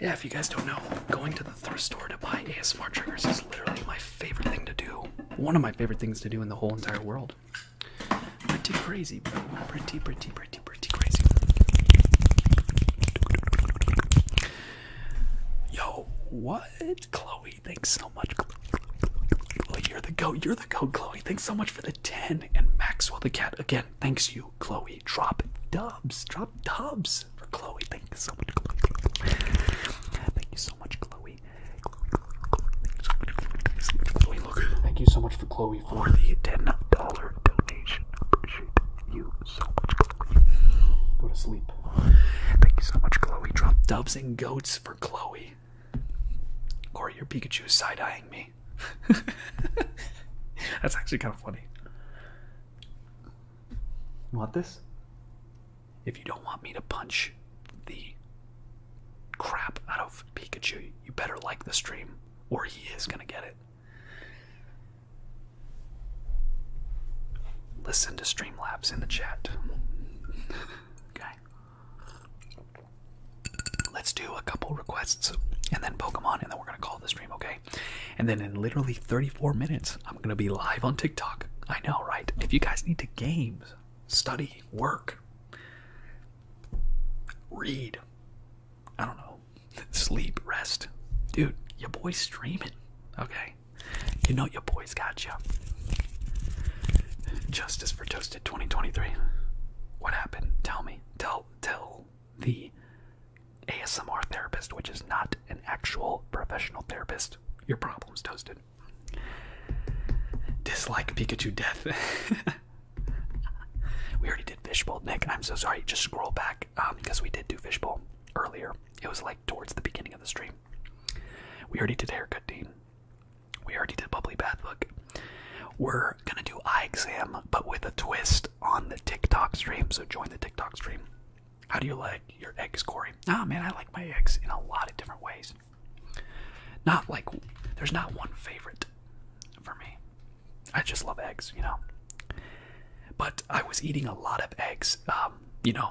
Yeah, if you guys don't know, going to the thrift store to buy ASMR triggers is literally my favorite thing to do. One of my favorite things to do in the whole entire world. Pretty crazy, bro. Pretty, pretty, pretty, pretty crazy. Yo, what? Chloe, thanks so much. Chloe, Chloe, Chloe, Chloe. Oh, you're the goat. You're the Chloe. Thanks so much for the 10. And Maxwell the Cat, again, thanks you, Chloe. Drop dubs. Drop dubs for Chloe. Thank so much, Chloe. Thank you so much, Chloe. Thank you so much for Chloe for the $10 donation. Appreciate you so much, Chloe. Go to sleep. Thank you so much, Chloe. Drop dubs and goats for Chloe. Corey. your Pikachu is side eyeing me. *laughs* That's actually kind of funny. want this? If you don't want me to punch the crap out of Pikachu, you better like the stream, or he is gonna get it. Listen to Streamlabs in the chat. *laughs* okay. Let's do a couple requests and then Pokemon, and then we're gonna call the stream, okay? And then in literally 34 minutes, I'm gonna be live on TikTok. I know, right? If you guys need to games, study, work, read, I don't know, *laughs* sleep, rest, dude, your boy's streaming, okay? You know your boy's got you. Justice for Toasted. 2023. What happened? Tell me. Tell tell the ASMR therapist, which is not an actual professional therapist. Your problem's toasted. Dislike Pikachu death. *laughs* we already did fishbowl, Nick. I'm so sorry. Just scroll back because um, we did do fishbowl earlier. It was like towards the beginning of the stream. We already did haircut, Dean we already did bubbly bath book. We're gonna do eye exam, but with a twist on the TikTok stream. So join the TikTok stream. How do you like your eggs, Corey? Ah, oh, man, I like my eggs in a lot of different ways. Not like there's not one favorite for me. I just love eggs, you know. But I was eating a lot of eggs, um, you know,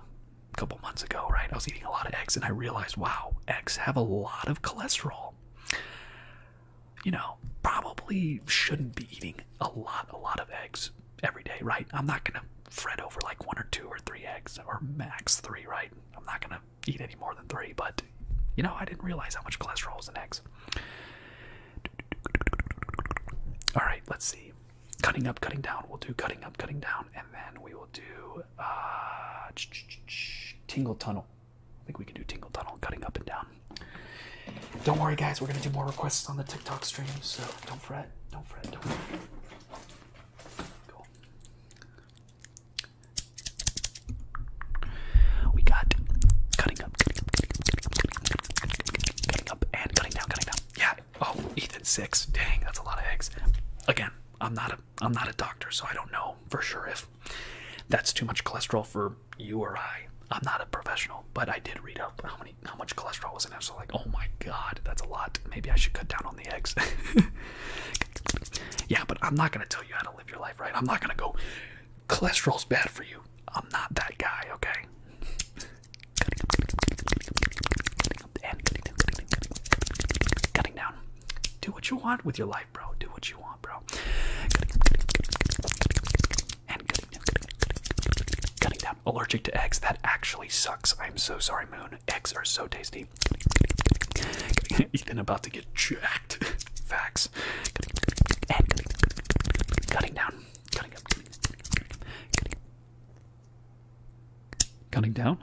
a couple months ago, right? I was eating a lot of eggs, and I realized, wow, eggs have a lot of cholesterol. You know, probably shouldn't be eating a lot, a lot of eggs every day, right? I'm not gonna fret over like one or two or three eggs or max three, right? I'm not gonna eat any more than three, but you know, I didn't realize how much cholesterol was in eggs. All right, let's see. Cutting up, cutting down. We'll do cutting up, cutting down, and then we will do Ah, Tingle Tunnel. I think we can do Tingle Tunnel, cutting up and down. Don't worry, guys. We're gonna do more requests on the TikTok stream, so don't fret. Don't fret. Don't fret. We got cutting up, cutting up, cutting up, cutting up, and cutting down, cutting down. Yeah. Oh, Ethan six. Dang, that's a lot of eggs. Again, I'm not a i I'm not a doctor, so I don't know for sure if that's too much cholesterol for you or I. I'm not a professional, but I did read up how many how much cholesterol was in it. So like, oh my god, that's a lot. Maybe I should cut down on the eggs. *laughs* yeah, but I'm not gonna tell you how to live your life, right? I'm not gonna go cholesterol's bad for you. I'm not that guy, okay? cutting down. Do what you want with your life bro. Do what you want, bro. And cutting down, Allergic to eggs. That actually sucks. I'm so sorry, Moon. Eggs are so tasty. Ethan about to get jacked. *laughs* Facts. cutting down. Cutting up. Cutting down.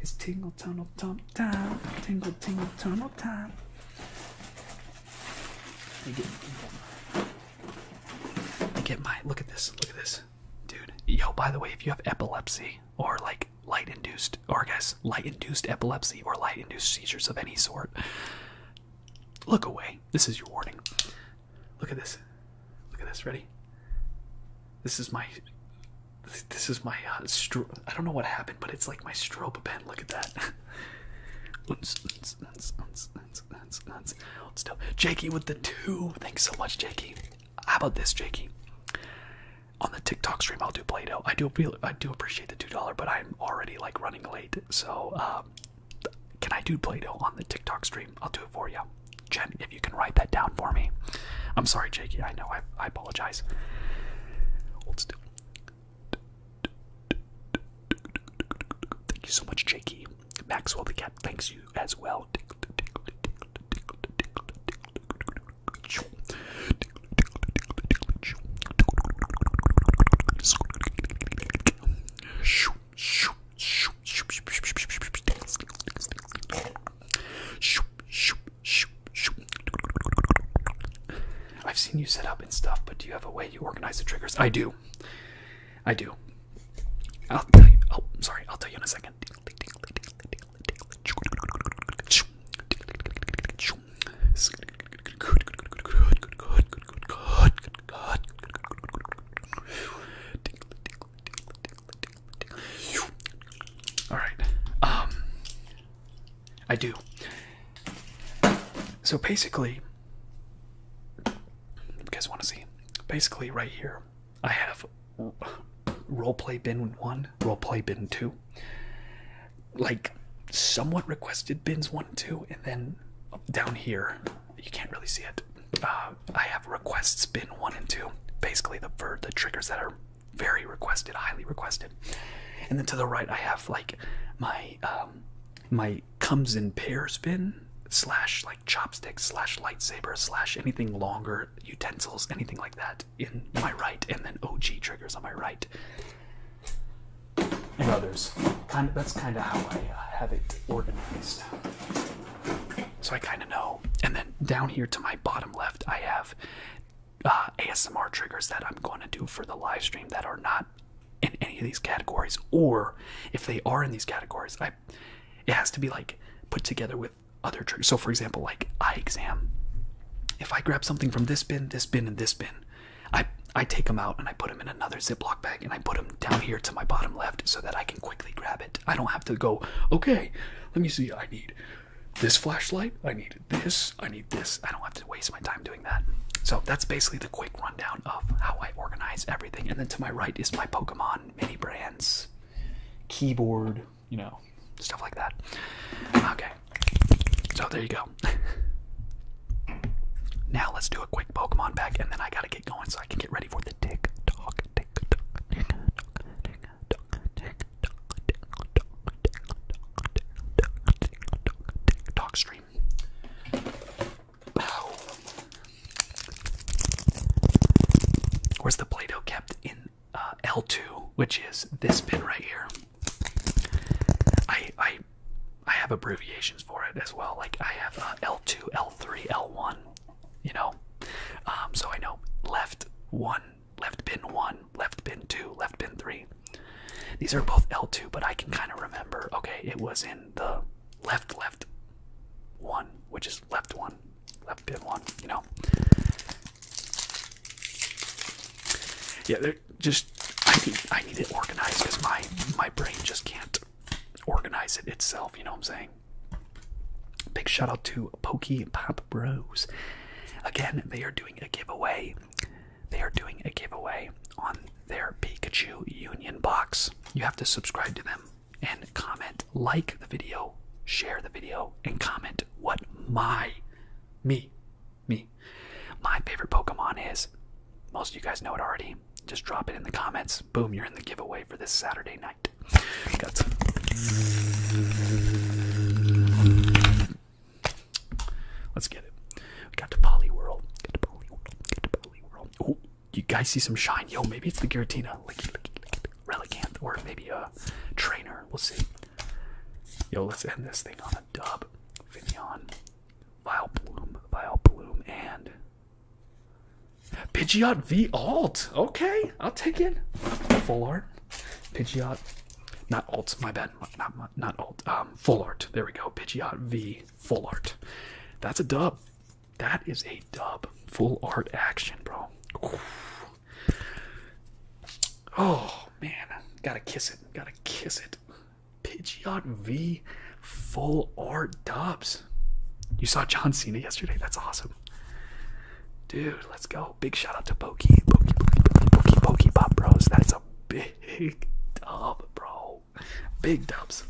It's tingle tunnel tump time. Tingle tingle tunnel time. You get, you get my look at this. Look at this, dude. Yo, by the way, if you have epilepsy or like light induced, or I guess light induced epilepsy or light induced seizures of any sort, look away. This is your warning. Look at this. Look at this. Ready? This is my this is my uh, stro I don't know what happened, but it's like my strobe pen. Look at that. Still, Jakey with the two. Thanks so much, Jakey. How about this, Jakey? On the TikTok stream, I'll do Play-Doh. I do, I do appreciate the two dollar, but I'm already like running late. So, um, can I do Play-Doh on the TikTok stream? I'll do it for you, Jen. If you can write that down for me. I'm sorry, Jakey. I know I I apologize. Thank you so much, Jakey. Maxwell the Cat, thanks you as well. I've seen you set up and stuff, but do you have a way you organize the triggers? I do. I do. I'll tell you. Oh, sorry. I'll tell you in a second. All right. Um I do. So basically guys want to see basically right here I have role play bin 1, role play bin 2. Like someone requested bins 1 and 2 and then down here you can't really see it. Uh, I have requests bin 1 and 2. Basically the the triggers that are very requested, highly requested. And then to the right, I have like my um, my comes in pairs bin slash like chopsticks slash lightsaber slash anything longer utensils anything like that in my right, and then OG triggers on my right, and others. Kind of, that's kind of how I uh, have it organized. So I kind of know. And then down here to my bottom left, I have uh, ASMR triggers that I'm going to do for the live stream that are not in any of these categories, or if they are in these categories, I it has to be like put together with other triggers. So, for example, like eye exam. If I grab something from this bin, this bin, and this bin, I I take them out and I put them in another ziplock bag and I put them down here to my bottom left so that I can quickly grab it. I don't have to go. Okay, let me see. I need this flashlight, I need this, I need this. I don't have to waste my time doing that. So that's basically the quick rundown of how I organize everything. And then to my right is my Pokemon mini brands, keyboard, you know, stuff like that. Okay, so there you go. *laughs* now let's do a quick Pokemon pack, and then I gotta get going so I can get ready for the tick tock, tick tock, tick tock, tick tock, tick TikTok stream. Ow. Where's the Play-Doh kept in uh, L2, which is this pin right here? I I I have abbreviations for it as well. Like I have L2, L3, L1. You know, um, so I know left one left bin 1, left bin 2, left bin 3. These are both L2, but I can kind of remember, okay, it was in the left, left 1, which is left 1, left bin 1, you know? Yeah, they're just, I need, I need it organized because my, my brain just can't organize it itself, you know what I'm saying? Big shout out to Pokey Pop Bros. Again, they are doing doing a giveaway. They are doing a giveaway on their Pikachu Union box. You have to subscribe to them and comment, like the video, share the video, and comment what my, me, me, my favorite Pokemon is. Most of you guys know it already. Just drop it in the comments. Boom, you're in the giveaway for this Saturday night. Got some. Let's get it. We got to Polyworld. Get to Polyworld. Get to Polyworld. Oh, you guys see some shine. Yo, maybe it's the Giratina. Relicanth. Or maybe a trainer. We'll see. Yo, let's end this thing on a dub. Bloom, Vileplume. Bloom, And. Pidgeot V Alt. Okay, I'll take it. Full art. Pidgeot, not alt, my bad, not not, alt, um, full art. There we go. Pidgeot V full art. That's a dub. That is a dub. Full art action, bro. Oh man, gotta kiss it. Gotta kiss it. Pidgeot V full art dubs. You saw John Cena yesterday. That's awesome. Dude, let's go big shout out to Pokey, Pokey, Pokey, Pokey, Pokey Pop Bros. That's a big *laughs* dub, bro. Big dubs.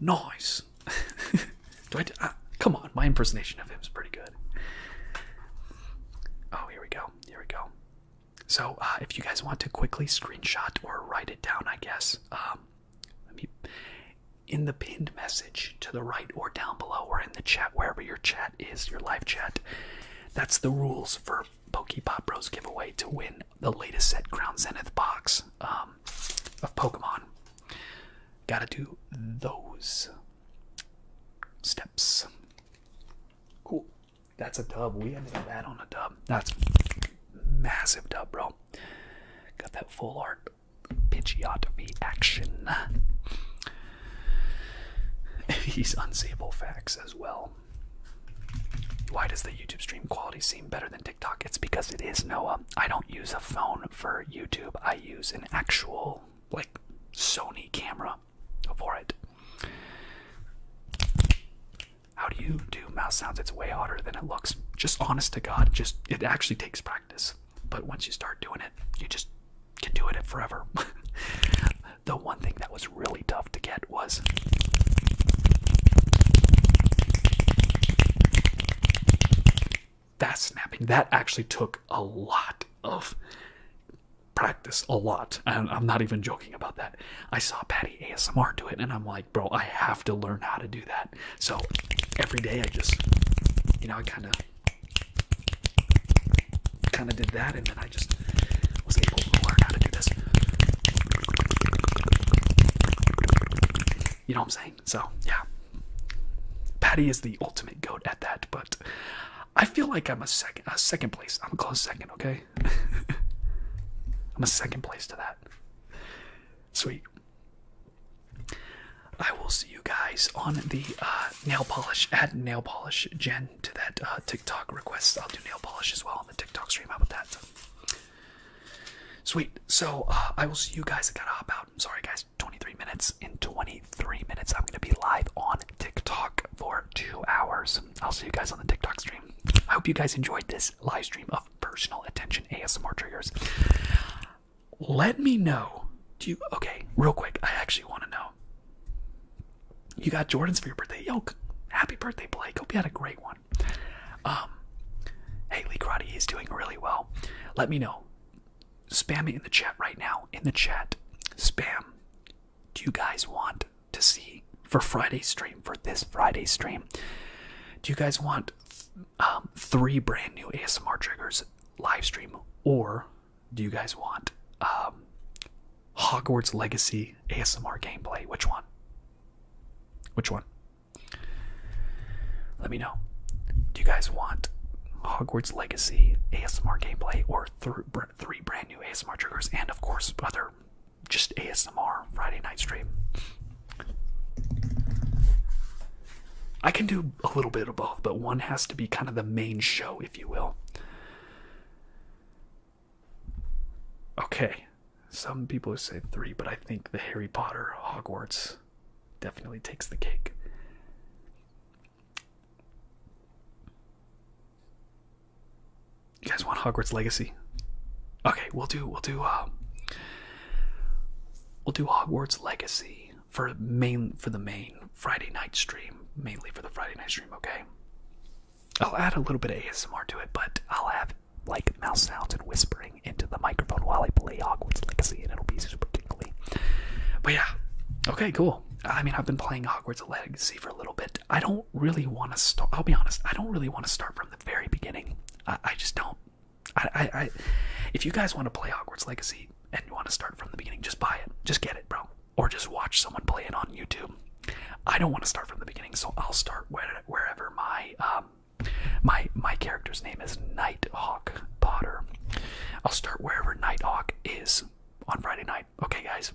Nice. *laughs* do I, uh, come on, my impersonation of him is pretty good. Oh, here we go. Here we go. So, uh, if you guys want to quickly screenshot or write it down, I guess. Um, let me in the pinned message to the right or down below or in the chat, wherever your chat is, your live chat. That's the rules for Pop Bros giveaway to win the latest set Ground Zenith box um, of Pokemon. Gotta do those steps. Cool. That's a dub. We ended up at on a dub. That's massive dub, bro. Got that full art Pidgeotopy action. These *laughs* unsable facts as well. Why does the YouTube stream quality seem better than TikTok? It's because it is, Noah. I don't use a phone for YouTube. I use an actual, like, Sony camera for it. How do you do mouse sounds? It's way harder than it looks. Just honest to God, just it actually takes practice practice. But once you start doing it, you just can do it forever. *laughs* the one thing that was really tough to get was that snapping. That actually took a lot of practice, a lot. And I'm not even joking about that. I saw Patty ASMR do it, and I'm like, bro, I have to learn how to do that. So every day I just, you know, I kind of kind of did that, and then I just was able to learn how to do this. You know what I'm saying? So, yeah. Patty is the ultimate goat at that, but I feel like I'm a second, a second place. I'm a close second, okay? *laughs* I'm a second place to that. Sweet. I will see you guys on the uh, nail polish. Add nail polish Jen to that uh, TikTok request. I'll do nail polish as well on the TikTok stream. How about that? Sweet. So uh, I will see you guys. I gotta hop out. I'm sorry, guys. 23 minutes. In 23 minutes, I'm gonna be live on TikTok for two hours. I'll see you guys on the TikTok stream. I hope you guys enjoyed this live stream of personal attention ASMR triggers let me know. Do you okay? Real quick, I actually want to know. You got Jordans for your birthday, yo! Happy birthday, Blake. Hope you had a great one. Um, hey, Lee Karate is doing really well. Let me know. Spam me in the chat right now. In the chat, spam. Do you guys want to see for Friday stream? For this Friday stream, do you guys want um, three brand new ASMR triggers live stream or? do you guys want? Um, Hogwarts Legacy ASMR gameplay. Which one? Which one? Let me know. Do you guys want Hogwarts Legacy ASMR gameplay or three brand new ASMR triggers and, of course, other just ASMR Friday night stream? I can do a little bit of both, but one has to be kind of the main show, if you will. Okay, some people say three, but I think the Harry Potter Hogwarts definitely takes the cake. You guys want Hogwarts Legacy? Okay, we'll do we'll do um, we'll do Hogwarts Legacy for main for the main Friday night stream, mainly for the Friday night stream. Okay, I'll add a little bit of ASMR to it, but I'll have like mouse sounds and whispering into the microphone while I play Hogwarts Legacy, and it'll be super tingly. But yeah, okay, cool. I mean, I've been playing Hogwarts Legacy for a little bit. I don't really want to start. I'll be honest. I don't really want to start from the very beginning. I, just don't. I, I, I, if you guys want to play Hogwarts Legacy, and you want to start from the beginning, just buy it. Just get it, bro. Or just watch someone play it on YouTube. I don't want to start from the beginning, so I'll start where, wherever my um, my my character's name is Hawk Potter. I'll start wherever Hawk is on Friday night. Okay, guys.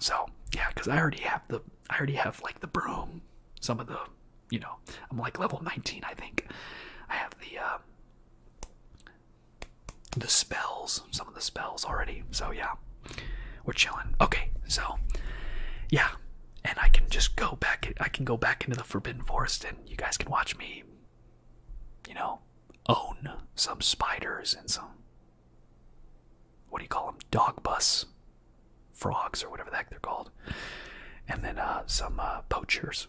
So yeah, because I already have the I already have like the broom, some of the you know I'm like level 19 I think. I have the uh, the spells, some of the spells already. So yeah, we're chilling. Okay, so yeah, and I can just go back. I can go back into the Forbidden Forest, and you guys can watch me. You know, own some spiders and some. What do you call them? Dog bus frogs or whatever the heck they're called, and then uh, some uh, poachers